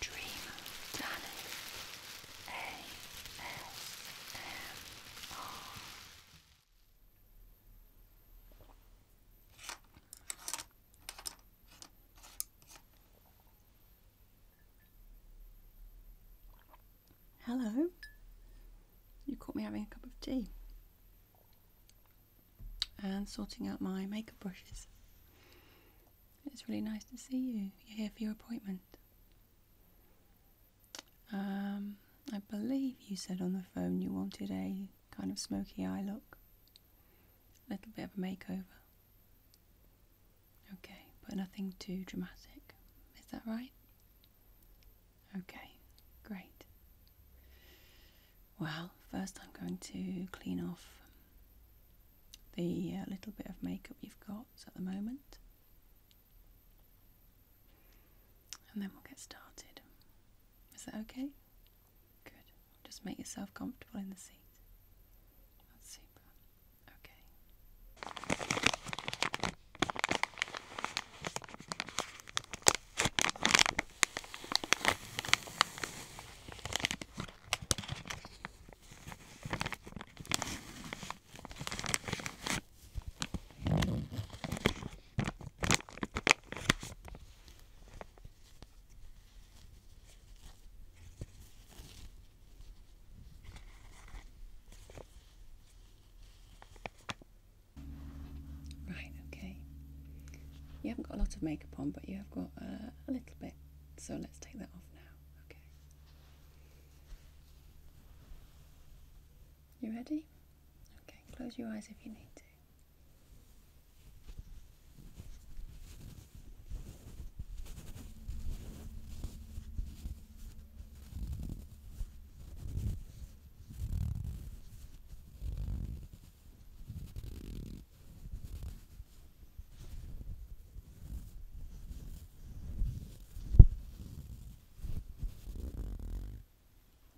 Dream Danny ASMR Hello, you caught me having a cup of tea and sorting out my makeup brushes. It's really nice to see you. You're here for your appointment. Um, I believe you said on the phone you wanted a kind of smoky eye look. A little bit of a makeover. Okay, but nothing too dramatic. Is that right? Okay, great. Well, first I'm going to clean off the uh, little bit of makeup you've got at the moment. And then we'll get started. Is that okay? Good. Just make yourself comfortable in the seat. That's super. Okay. Right, okay. You haven't got a lot of makeup on, but you have got uh, a little bit, so let's take that off now. You ready? Okay, close your eyes if you need to.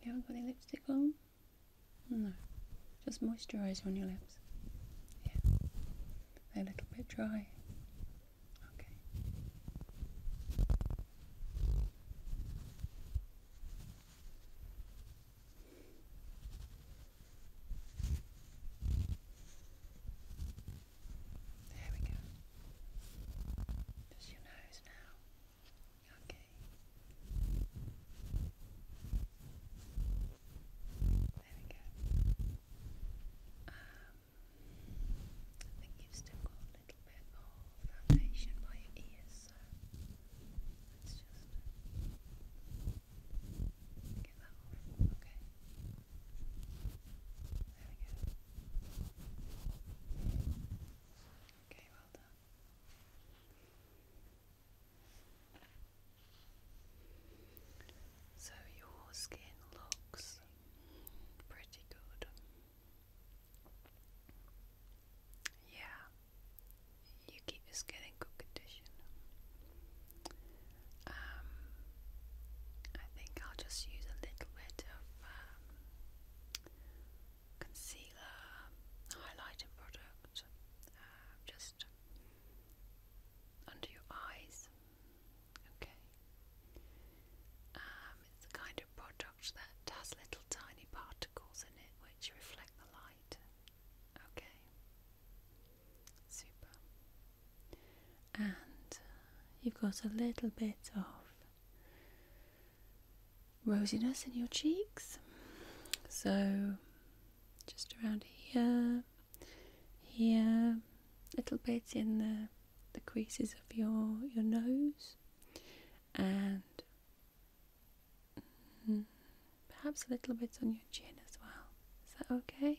You haven't got any lipstick on? No. Just moisturiser on your lips. Yeah. a little bit dry. Okay. There we go. Just your nose now. Okay. There we go. Um, I think you've still got a little bit of foundation by your ears, so let's just. Okay. well done. So your skin looks pretty good. Yeah, you keep your skin in good condition. Um, I think I'll just use a little bit of um, concealer, highlighter product, uh, just under your eyes. Okay. Um, it's the kind of product that has little tiny particles in it which reflect the light. Okay. Super. And uh, you've got a little bit of rosiness in your cheeks. So just around here, here, little bit in the, the creases of your, your nose and mm, perhaps a little bit on your chin as well. Is that okay?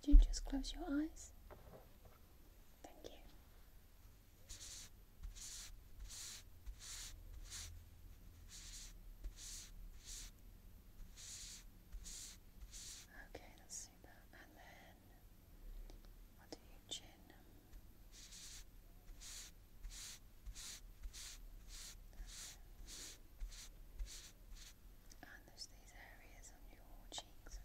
Could you just close your eyes? Thank you. Okay, that's super. And then i do your chin. And there's these areas on your cheeks.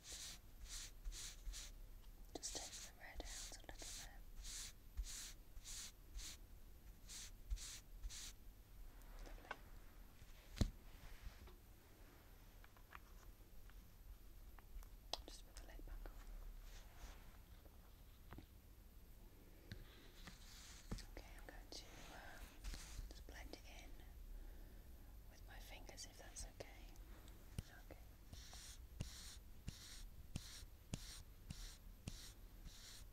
Just take the red out a little bit. Just put the lid back on. Okay, I'm going to just blend it in with my fingers if that's Okay. Okay.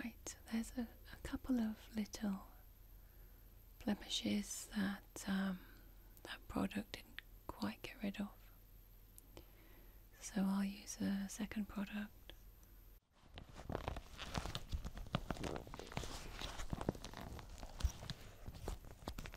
Right, so there's a, a couple of little blemishes that um, that product didn't quite get rid of. So I'll use a second product.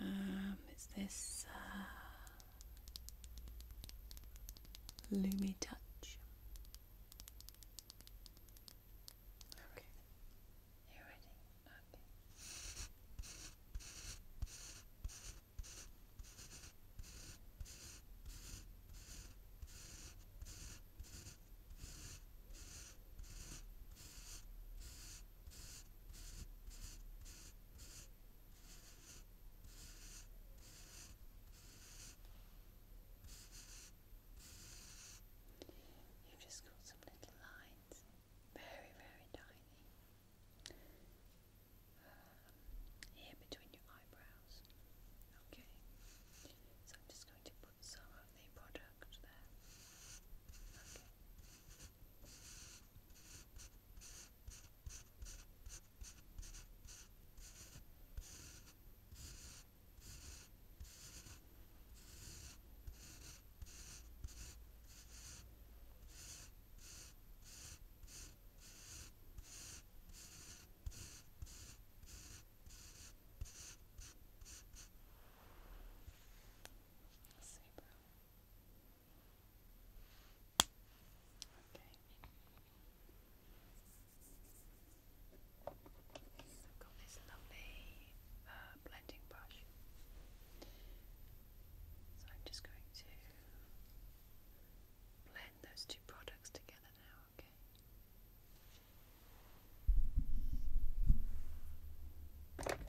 Um, it's this uh, Lumi Touch. Okay. You're ready? Okay. You've just got some little lines, very, very tiny, um, here between your eyebrows. Okay, so I'm just going to put some of the product there see, bro. Okay. I've got this lovely uh, blending brush. So I'm just going to blend those two products together now, okay? Okay.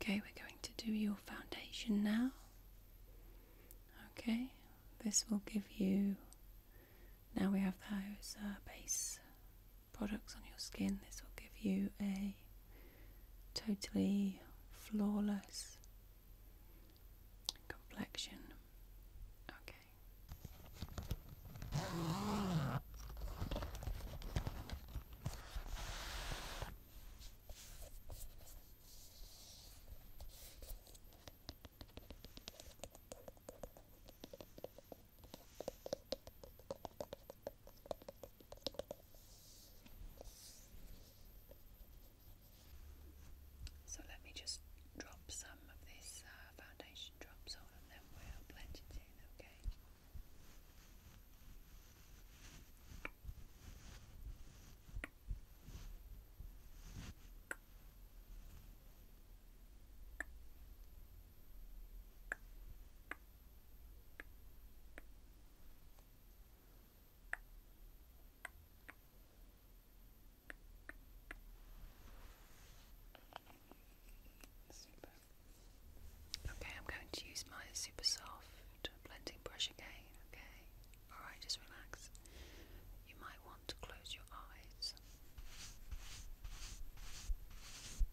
Okay, we're going to do your foundation now. Okay, this will give you. Now we have those uh, base products on your skin. This will give you a totally flawless complexion. Okay. So let me just drop some of this uh, foundation drops on and then we'll blend it in, Okay. Okay, I'm going to use my super soft blending brush again. Okay, alright, just relax. You might want to close your eyes.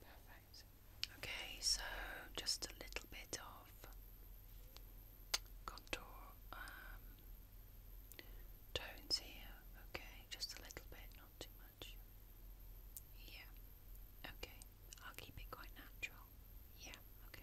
Perfect. Okay, so just a little bit of contour um, tones here. Okay, just a little bit not too much. Yeah. Okay. I'll keep it quite natural. Yeah, okay.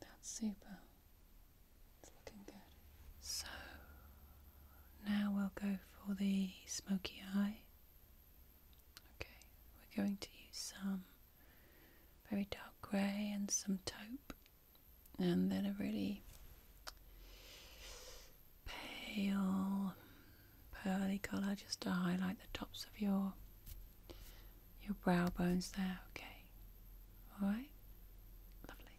That's super. It's looking good. So now we'll go for the smoky eye. Okay, we're going to use some very dark grey and some taupe and then a really pale pearly colour just to highlight the tops of your your brow bones there okay all right lovely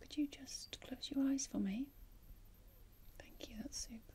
Could you just close your eyes for me? Thank you, that's super.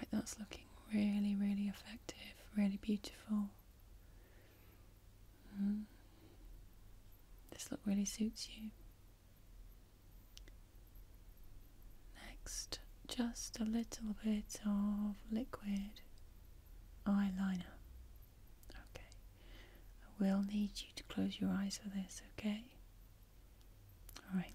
Right, that's looking really, really effective, really beautiful. Hmm. This look really suits you. Next, just a little bit of liquid eyeliner. Okay, I will need you to close your eyes for this, okay? Alright.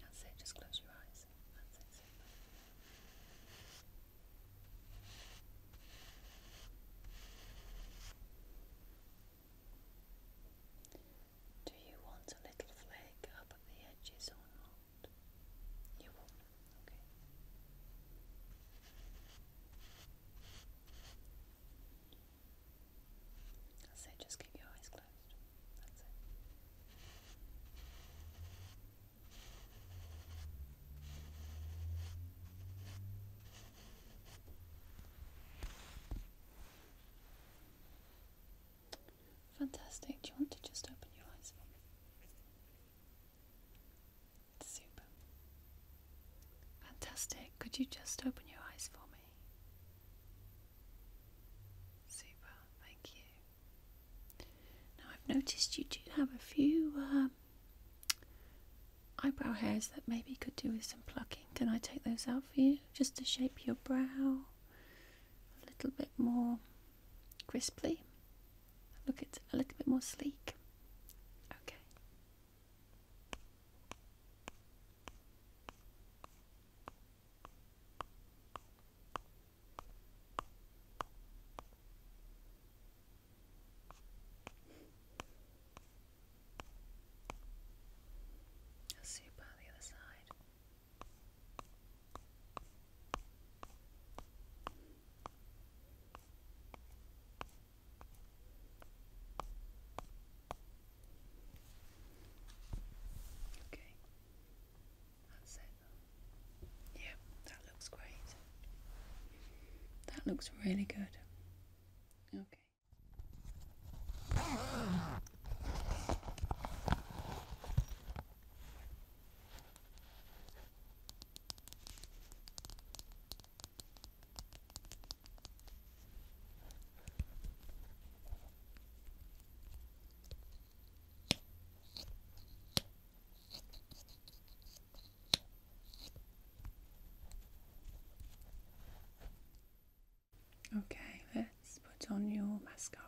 That's it, just close your eyes. Do you want a little flake up the edges or not? You will, okay. That's it, just keep your eyes closed. Fantastic. Do you want to just open your eyes for me? Super. Fantastic. Could you just open your eyes for me? Super, thank you. Now I've noticed you do have a few um, eyebrow hairs that maybe could do with some plucking. Can I take those out for you? Just to shape your brow a little bit more crisply. Look, it a little bit more sleek. Okay. I'll see you by the other side. Okay. That's it. Yeah, that looks great. That looks really good. Okay. Okay, let's put on your mascara.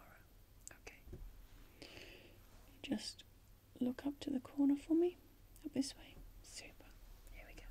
Okay. Just look up to the corner for me. Up this way. Super. Here we go.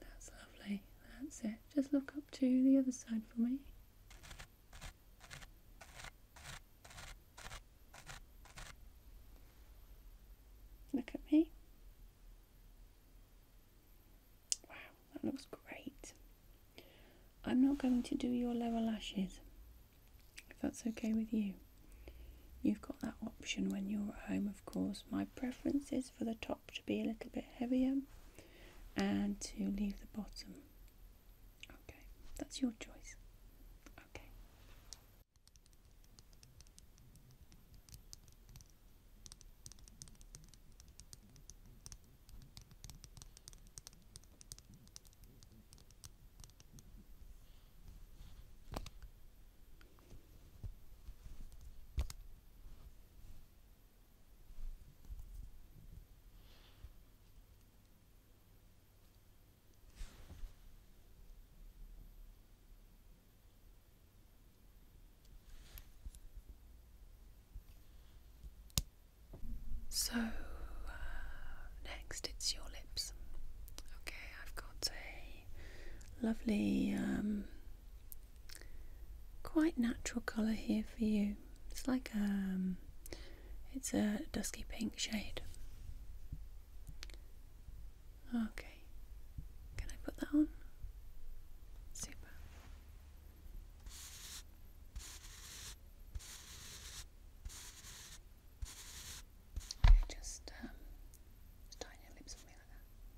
That's lovely. That's it. Just look up to the other side for me. Look at me. Wow, that looks great. I'm not going to do your lower lashes, if that's okay with you. You've got that option when you're at home, of course. My preference is for the top to be a little bit heavier and to leave the bottom. Okay, that's your choice. Okay. So uh, next it's your lips. Okay, I've got a lovely um, quite natural colour here for you. It's like um, it's a dusky pink shade. Okay, can I put that on? Super. Just um, just your lips on that.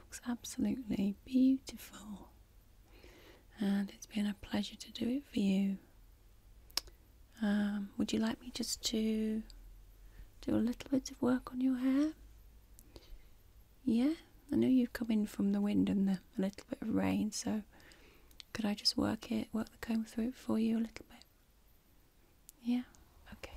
looks absolutely beautiful, and it's been a pleasure to do it for you. Um, would you like me just to do a little bit of work on your hair? Yeah, I know you've come in from the wind and the, a little bit of rain, so could I just work it, work the comb through for you a little bit? Yeah, okay.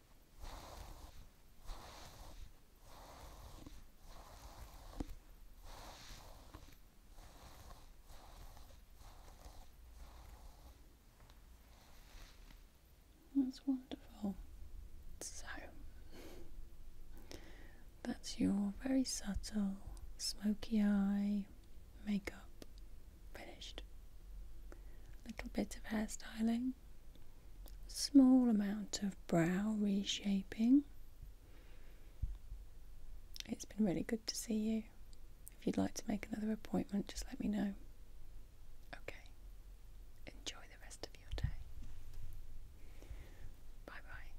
That's wonderful. So, that's your very subtle smoky eye makeup finished. little bit of hairstyling small amount of brow reshaping. It's been really good to see you. If you'd like to make another appointment, just let me know. Okay. Enjoy the rest of your day. Bye bye.